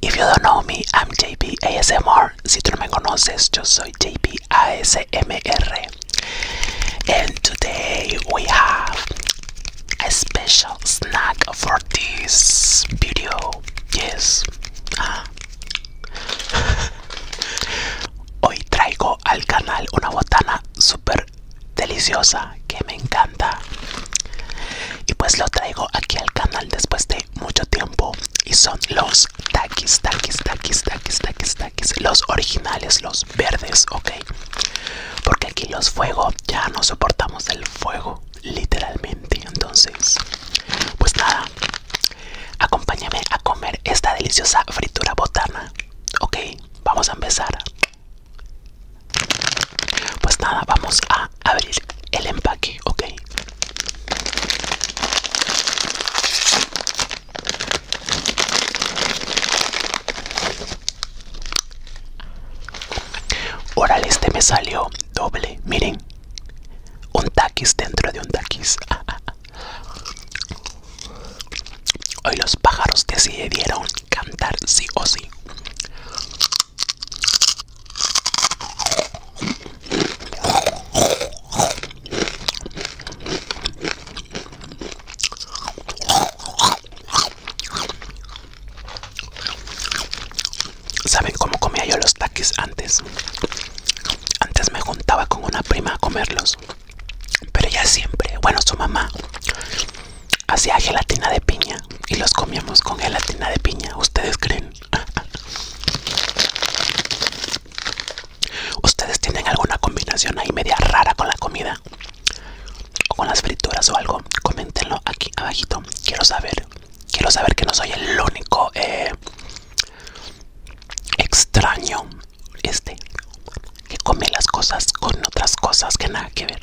If you don't know me, I'm JP ASMR. Si tú no me conoces, yo soy JP ASMR. And today we have a special snack for this video. Yes. Ah. Hoy traigo al canal una botana super deliciosa que me encanta. Y pues lo traigo aquí al canal después de mucho tiempo. Y son los takis, takis, takis, takis, takis, takis. Los originales, los verdes, ok. Porque aquí los fuego, ya no soportamos el fuego, literalmente. Entonces, pues nada, acompáñame a comer esta deliciosa fritura botana. Ok, vamos a empezar. Pues nada, vamos a abrir el empaque, ok. ahora este me salió doble, miren. Un taquis dentro de un taquis. Hoy los pájaros decidieron cantar sí o sí. ¿Saben cómo comía yo los taquis antes? Antes me juntaba con una prima a comerlos. Pero ella siempre, bueno, su mamá hacía gelatina de piña y los comíamos con gelatina de piña. ¿Ustedes creen? ¿Ustedes tienen alguna combinación ahí media rara con la comida? ¿O con las frituras o algo? Coméntenlo aquí abajito. Quiero saber. Quiero saber que no soy el único eh, extraño este que come las cosas con otras cosas que nada que ver.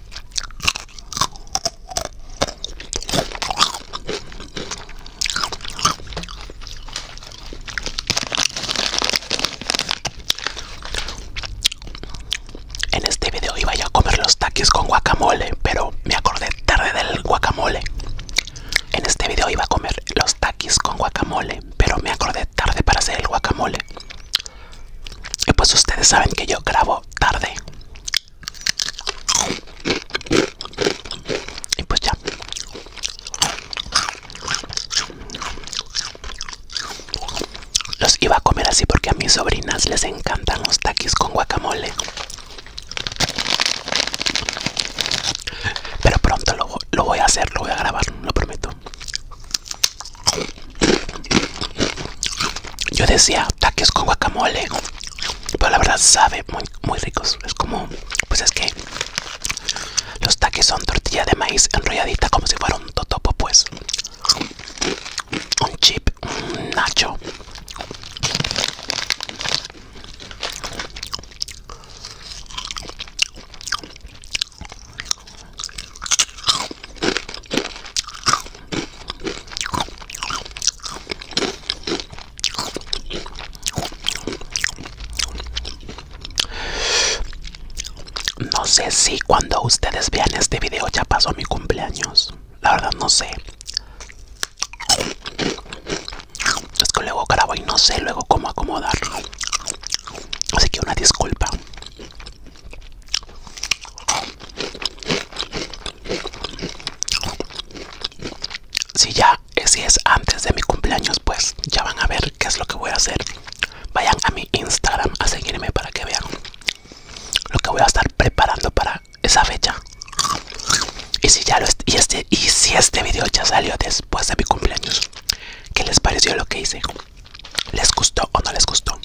En este video iba a comer los taquis con guacamole, pero me acordé tarde del guacamole. En este video iba a comer los taquis con guacamole, pero me acordé tarde para hacer el guacamole. Y pues ustedes saben que yo grabo tarde. Y pues ya. Los iba a comer así porque a mis sobrinas les encantan los taquis con guacamole. Pero pronto lo, lo voy a hacer, lo voy a grabar, lo prometo. Yo decía taques con guacamole, pero la verdad sabe muy, muy ricos. Es como, pues es que los taques son tortilla de maíz enrolladita como si fuera un totopo, pues. Un chip, un nacho. No sé si cuando ustedes vean este video ya pasó mi cumpleaños. La verdad no sé. Es que luego grabo y no sé luego cómo acomodarlo. Así que una disculpa. Si ya eh, es antes de mi cumpleaños, pues ya van a ver qué es lo que voy a hacer. Vayan a mi Instagram a seguirme para que vean lo que voy a estar preparando para esa fecha. Y si ya lo y este y si este video ya salió después de mi cumpleaños, ¿qué les pareció lo que hice? ¿Les gustó o no les gustó?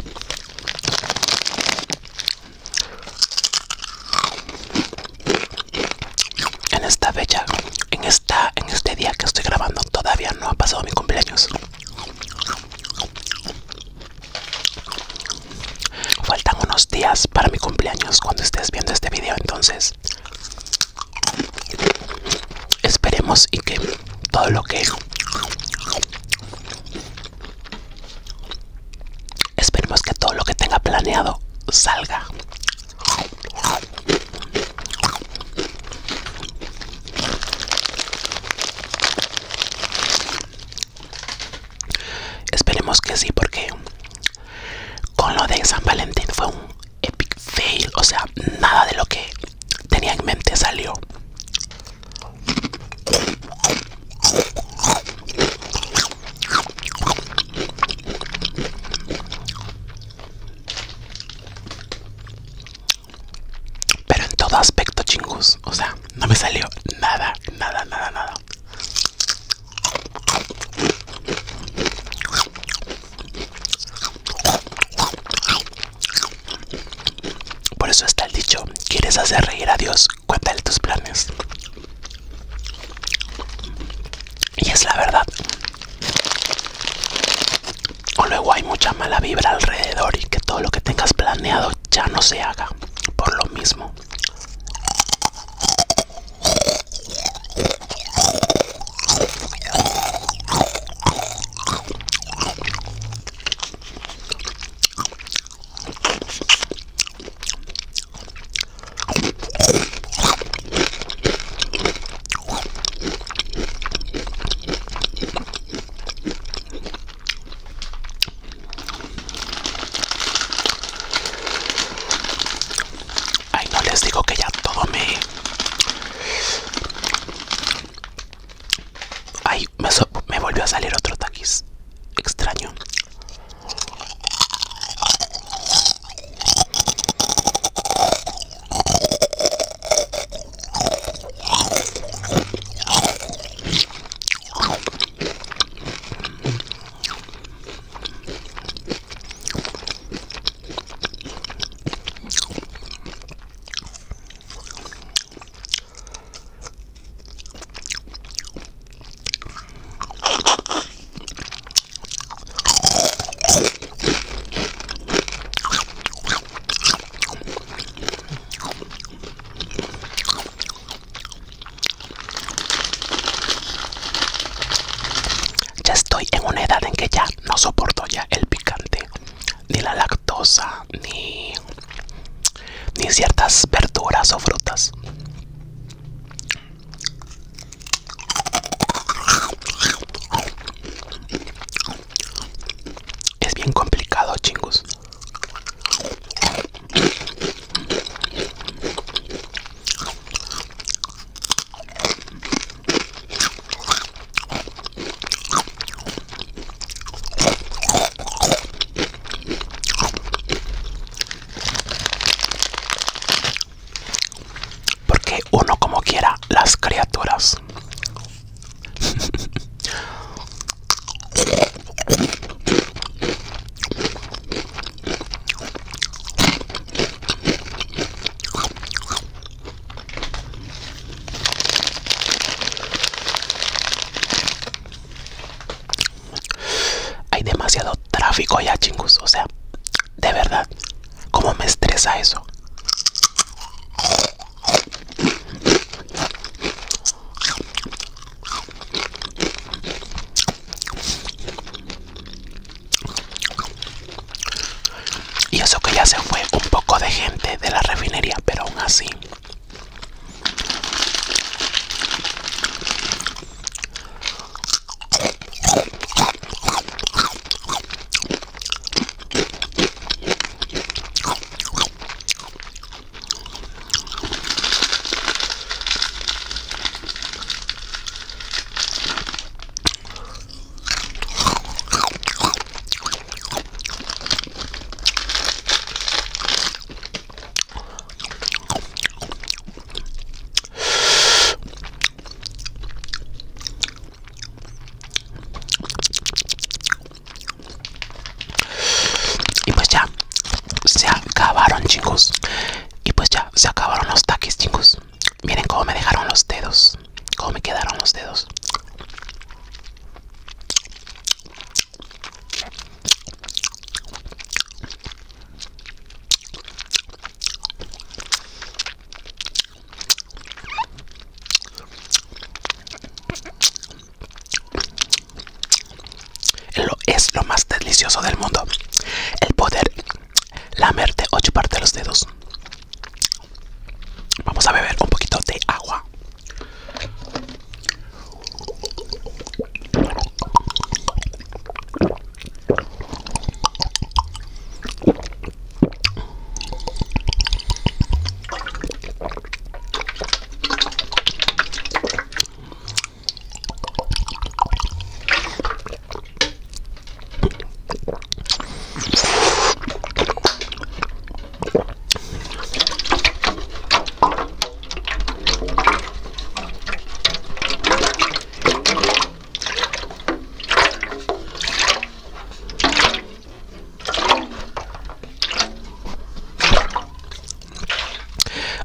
En esta fecha, en esta, en este día que estoy grabando, todavía no ha pasado mi cumpleaños. Faltan unos días para mi cumpleaños cuando estés viendo este video, entonces esperemos y que todo lo que esperemos que todo lo que tenga planeado salga esperemos que sí porque con lo de San Valentín fue un epic fail o sea nada de lo que tenía en mente salió. Pero en todo aspecto chingus, o sea, no me salió nada, nada, nada, nada. Por eso está el dicho, ¿quieres hacer reír a Dios? Cuéntale tus planes. Y es la verdad. O luego hay mucha mala vibra alrededor y que todo lo que tengas planeado ya no se haga. Por lo mismo. Ay, no les digo que ya todo me Ay, me, volvió a salir otro taquis. Extraño. Ya estoy en una edad en que ya no soporto ya el picante, ni la lactosa, ni, ciertas verduras o frutas. Es bien complicado, chingos. Porque uno como quiera las criaturas. Hay demasiado tráfico ya, chingus. O sea, de verdad, ¿cómo me estresa eso? Y eso que ya se fue un poco de gente de la refinería, pero aún así. Y pues ya se acabaron, chicos. Y pues ya se acabaron los taquis, chicos. Miren cómo me dejaron los dedos, cómo me quedaron los dedos. es lo más delicioso del mundo el poder lamerte ocho partes de los dedos. Vamos a beber un poquito de agua.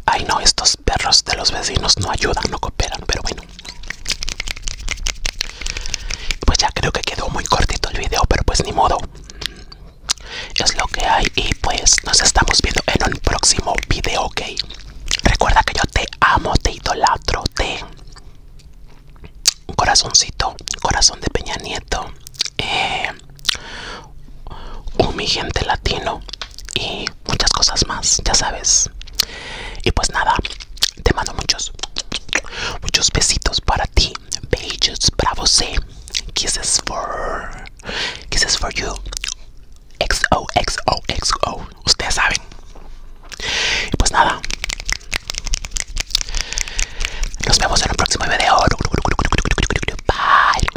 Ay no, esto perros de los vecinos no ayudan, no cooperan, pero bueno. Pues ya creo que quedó muy cortito el video, pero pues ni modo. Es lo que hay y pues nos estamos viendo en un próximo video, ¿ok? Recuerda que yo te amo, te idolatro, te... Un corazoncito, corazón de Peña Nieto, eh, un mi gente latino y muchas cosas más, ya sabes. Y pues nada, te mando muchos, muchos besitos para ti. Beijos para você. Eh. Kisses for, kisses for you. XO, XO, Ustedes saben. Y pues nada. Nos vemos en el próximo video. Bye.